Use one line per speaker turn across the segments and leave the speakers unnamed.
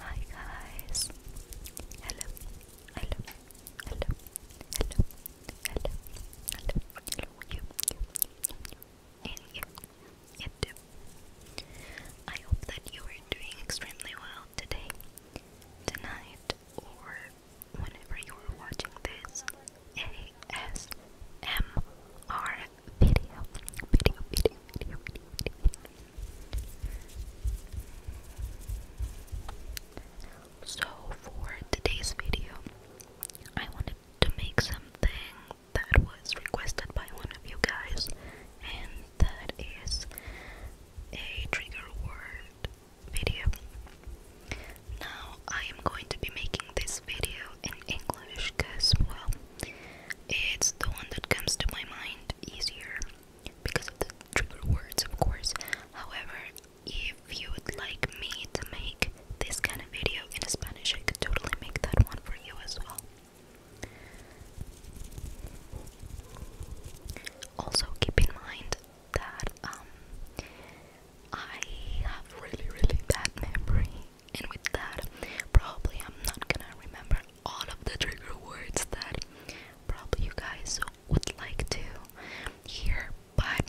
Hi guys! Hello, hello, hello, hello, hello, hello, hello, you, you, you, you, I hope that you are doing extremely well today, tonight, or whenever you are watching this ASMR video, So for today's video, I wanted to make something that was requested by one of you guys, and that is a trigger word video. Now I am going to be making this video in English because, well, it's the one that comes to my mind easier because of the trigger words, of course. However, if you would like me to make this kind of video in Spanish, I could totally make that one for you as well. Also, keep in mind that um, I have really, really bad memory and with that probably I'm not gonna remember all of the trigger words that probably you guys would like to hear but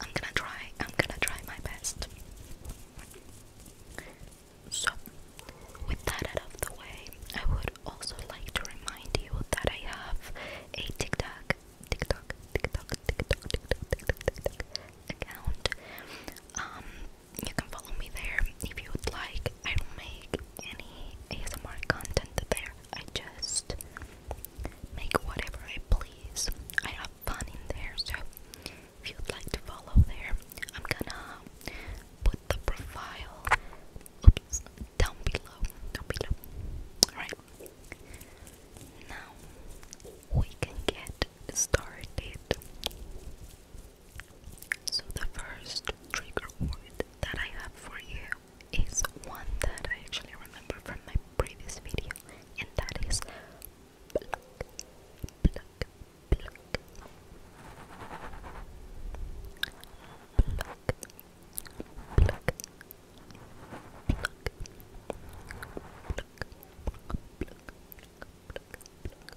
I'm gonna try I'm gonna try my best so with that out of the way I would also like to remind you that I have a TikTok TikTok TikTok TikTok TikTok TikTok, TikTok account um you can follow me there if you would like. I don't make any ASMR content there. I just make whatever I please. I have fun in there, so if you'd like to follow there, I'm gonna put the profile oops, down below. Down below. Alright. Now we can get started. So, the first trigger word that I have for you is one that I actually remember from my previous video, and that is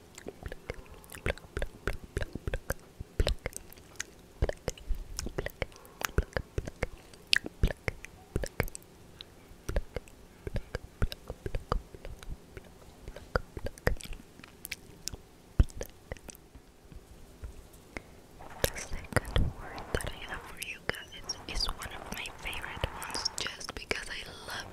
The second word that I have for you guys is one of my favorite ones just because I love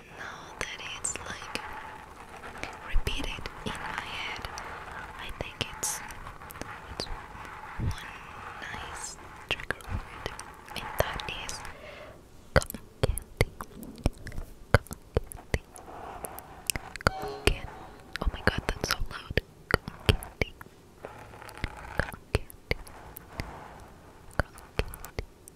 now that it's like repeated in my head, I think it's, one nice trigger and that is cotton candy. Cotton candy. Cotton Oh my god, that's so loud. Cotton candy. Cotton candy. Cotton candy.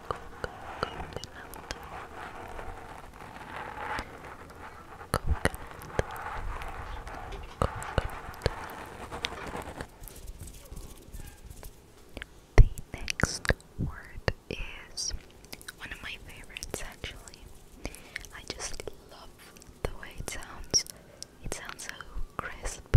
The next word is one of my favorites actually. I just love the way it sounds. It sounds so crisp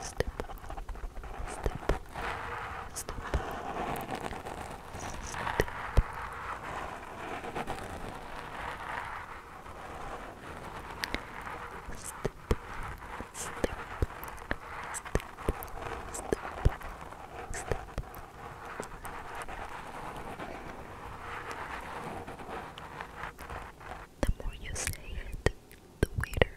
step, The more you say it, the weirder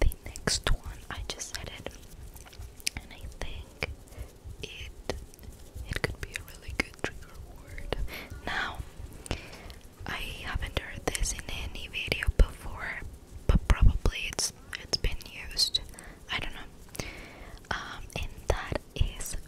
the next one, I just said and I think it it could be a really good trigger word. Now, I haven't heard this in any video before, but probably it's it's been used. I don't know. Um, and that is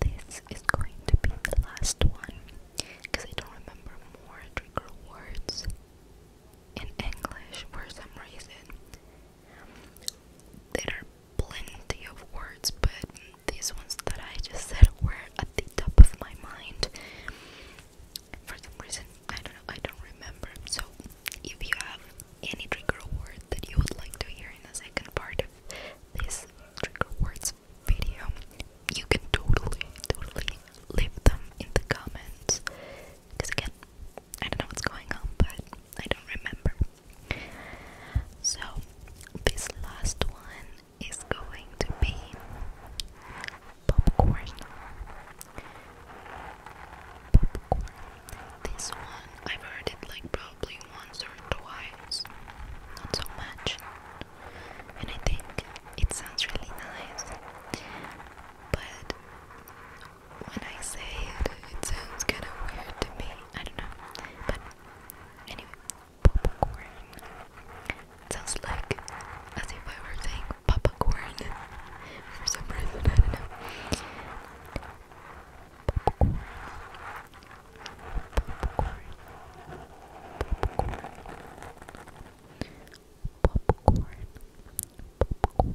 This is going to be the last one because I don't remember more trigger words in English for some reason. There are plenty of words, but these ones that I just said were at the top of my mind. For some reason, I don't know, I don't remember. So, if you have any trigger word that you would like to hear in the second part of this trigger words video, you can totally, totally leave them in the comments. Because again, I don't know what's going on, but I don't remember. So, this last one is going to be popcorn. Popcorn. This one I've heard it like probably once or twice, not so much, and I think it sounds really nice. But when I say it, it sounds kind of weird to me. I don't know. But anyway, popcorn. sounds like as if I were saying popcorn for some reason. I don't know. Popcorn. Popcorn. Popcorn. Popcorn. Popcorn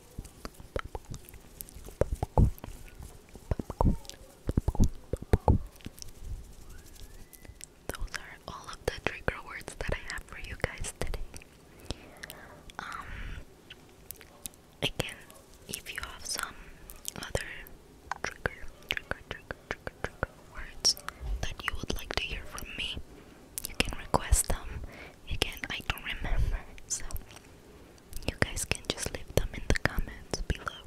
those are all of the trigger words that I have for you guys today. Um, again, if you have some other trigger, trigger, trigger, trigger, trigger words that you would like to hear from me, you can request them. Again, I do remember, so you guys can just leave them in the comments below.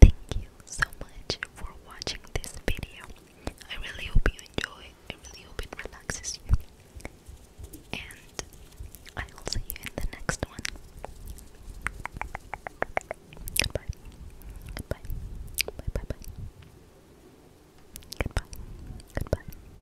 Thank you so much for watching this video. I really hope you enjoy. I really hope it relaxes you. And I will see you in the next one. Goodbye. Goodbye. Bye bye Goodbye. Goodbye.